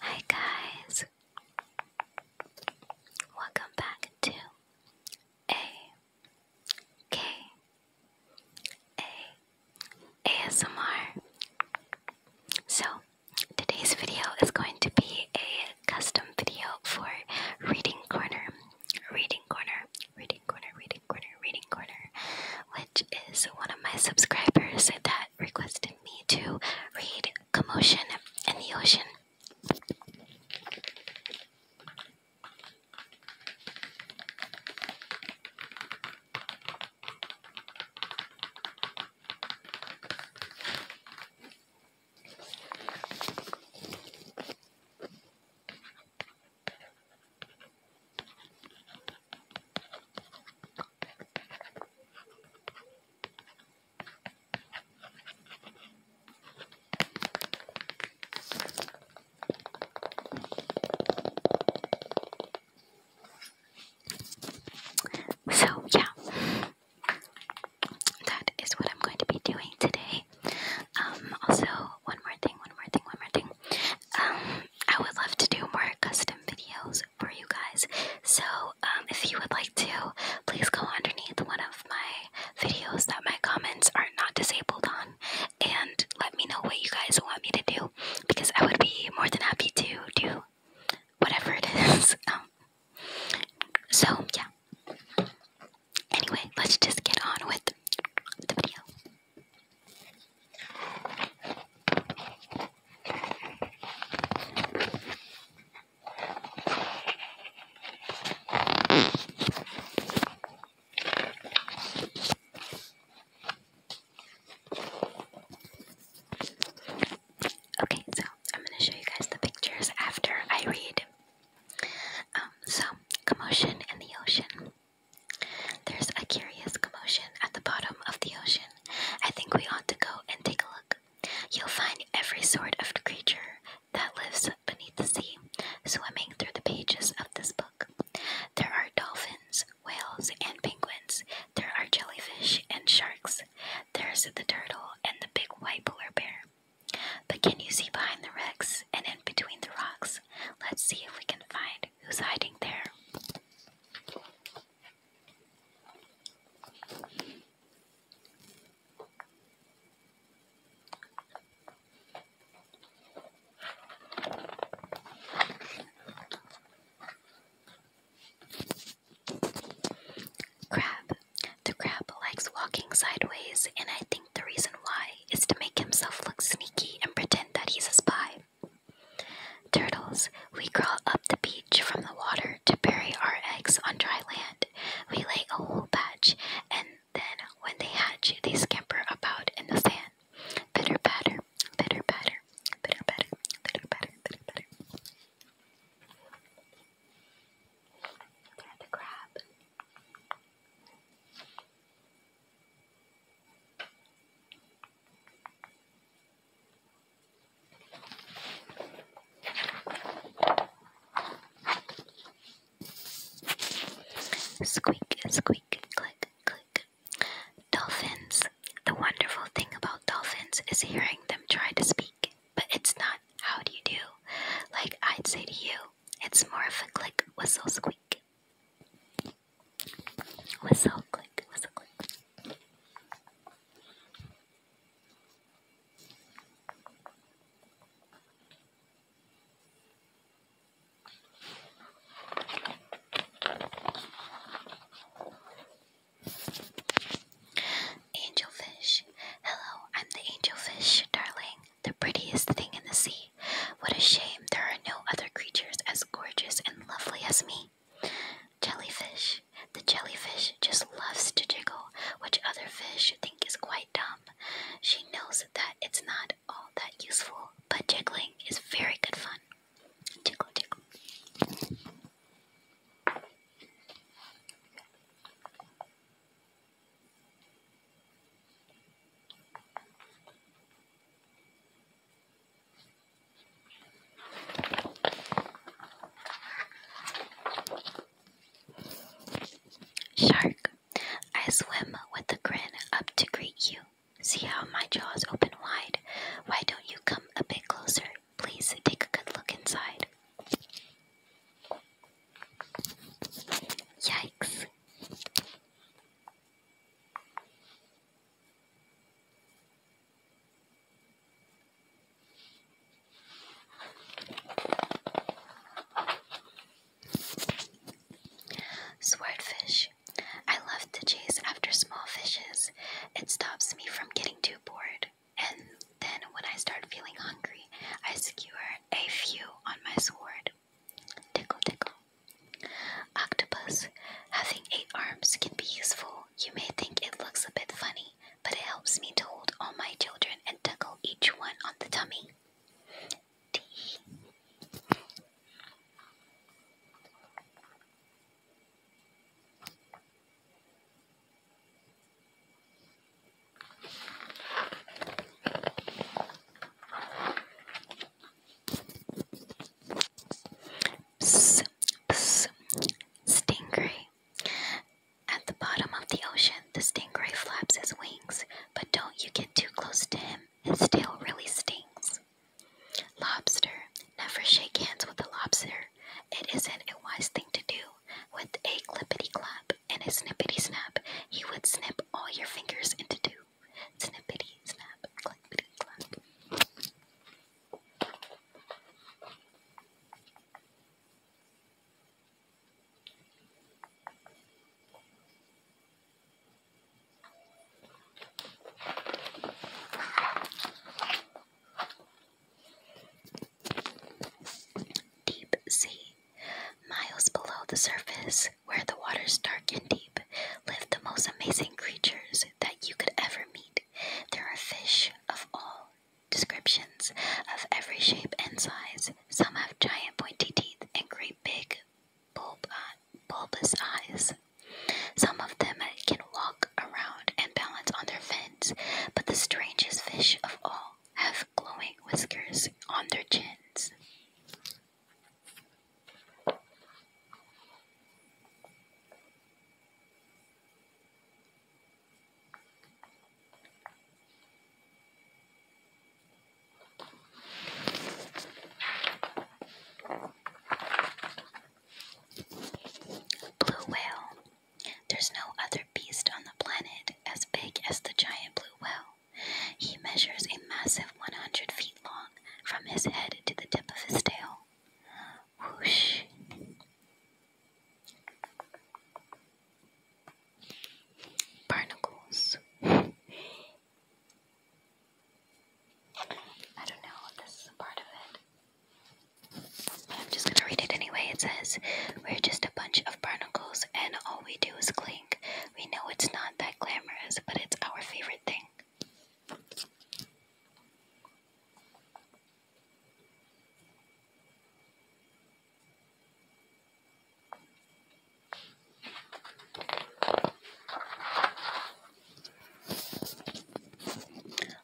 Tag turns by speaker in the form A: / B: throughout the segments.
A: Hi guys! Welcome back to A K A ASMR. So today's video is going to be a custom video for Reading Corner. Reading Corner, Reading Corner, Reading Corner, Reading Corner, which is one of my subscribers that requested me to read Commotion in the Ocean. So, yeah, that is what I'm going to be doing today. Um, also, one more thing, one more thing, one more thing. Um, I would love to do more custom videos for you guys. So um, if you would like to, please go underneath one of my videos that my comments are not disabled on and let me know what you guys want me to do because I would be more than happy to do whatever it is. Um, so yeah. Anyway, let's just get on with the video. Okay, so I'm going to show you guys the pictures after I read. Um, so, commotion in the ocean. There's a curious commotion at the bottom of the ocean. I think we ought to go and take a look. You'll find every sort of creature that lives beneath the sea swimming through the pages of this book. There are dolphins, whales, and penguins. There are jellyfish and sharks. There's the turtle and the big white polar bear. But can you see behind the wrecks and in between the rocks? Let's see if we can find who's hiding there. Crab. The crab likes walking sideways, and I think the reason why is to make himself look sneaky and pretend that he's a spy. Turtles, we crawl up the beach from the water to bury our eggs on dry land. We lay a whole batch, and then when they hatch, they scamper about in the sand. Pitter patter, pitter patter, pitter patter, pitter patter, pitter patter. Grab crab. Squeak, squeak, click, click. Dolphins. The wonderful thing about dolphins is hearing them try to speak, but it's not how do you do. Like I'd say to you, it's more of a click, whistle, squeak. Whistle click, whistle click. Angelfish. Hello, I'm the angelfish, darling the prettiest thing in the sea. What a shame there are no other creatures as gorgeous and lovely as me. Jellyfish. The jellyfish just loves to jiggle, which other fish think is quite dumb. She knows that it's not all that useful, but jiggling is very good fun. Jiggle, jiggle. Shark, I swim with a grin up to greet you. See how my jaws open wide. Why don't you come a bit closer? Please take a good look inside. Yikes. Swordfish. I love to chase after small fishes. It stops me from getting too bored. And then when I start feeling hungry, I skewer a few on my sword. Tickle, tickle. Octopus. Having eight arms can be useful. You may think it looks a bit funny, but it helps me to hold all my children and tuckle each one on the tummy. T stingray. At the bottom of the ocean, the stingray flaps his wings, but don't you get too close to him. His tail really stings. Lobster. Never shake hands with a lobster. It isn't a wise thing to do. With a clippity clap and a snippity snap, he would snip all your fingers into two. Snippity snap, clippity clap. Deep sea. Miles below the surface, where the water's dark and deep, live the most amazing creatures that you could ever meet. There are fish of all descriptions, of every shape and size. Some have giant pointy teeth and great big uh, bulbous eyes. Some of them can walk around and balance on their fins, but the strangest fish of all have glowing whiskers on their chins. Blue whale there's no other beast on the planet as big as the giant blue whale. He measures a massive 100 feet long from his head to the tip of his tail. Whoosh. Barnacles. I don't know, this is a part of it. I'm just gonna read it anyway. It says, We're just a bunch of barnacles, and all we do is clink. We know it's not that glamorous, but it's our favorite thing.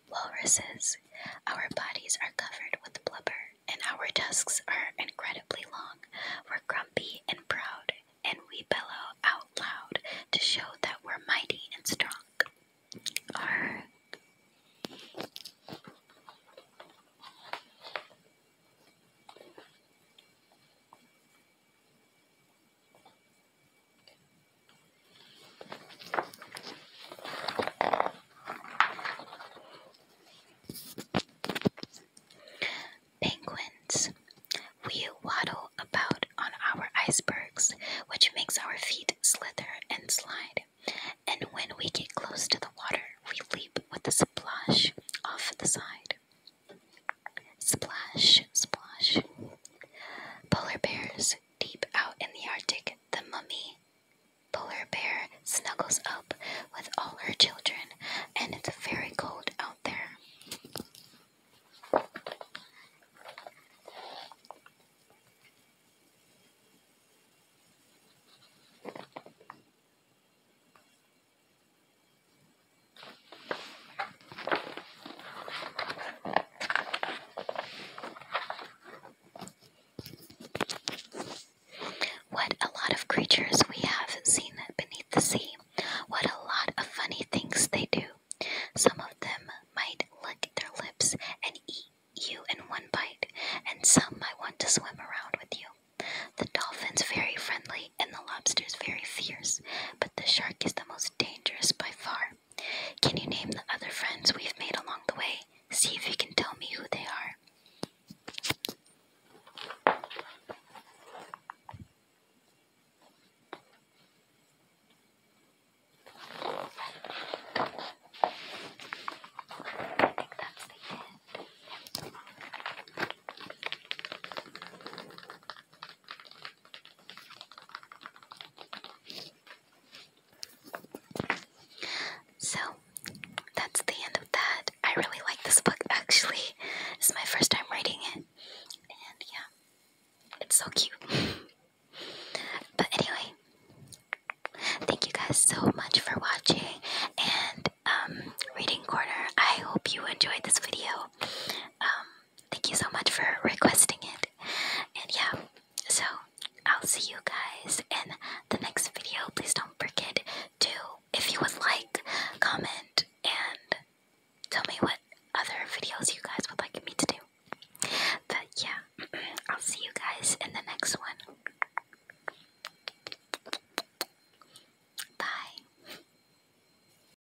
A: Walruses our bodies are covered with blubber, and our tusks are incredibly long. We're grumpy and proud, and we bellow out loud to show that we're mighty and strong. Our Penguins. We waddle about on our icebergs, which makes our feet slither and slide. And when we get close to the water, we leap with a splash off the side. Splash, splash. Polar bears deep out in the Arctic, the mummy polar bear snuggles up with all her children, and it's very cold out there. What a lot of creatures we have seen beneath the sea. What a lot of funny things they do. Some of them might lick their lips and eat you in one bite, and some might want to swim around with you. The dolphin's very friendly and the lobster's very fierce, but the shark is the most dangerous by far. Can you name the other friends we've made along the way? See if you can tell me who they are. I think that's the end. So that's the end of that. I really like this book actually. It's my first time reading it. And yeah, it's so cute. but anyway, thank you guys so much for watching and um, reading corner. I hope you enjoyed this video. Um, thank you so much for requesting it. And yeah, so I'll see you guys in the next video. Please don't forget to, if you would like, comment and tell me what other videos you guys would like me to do. But yeah, I'll see you guys in the next one. Bye.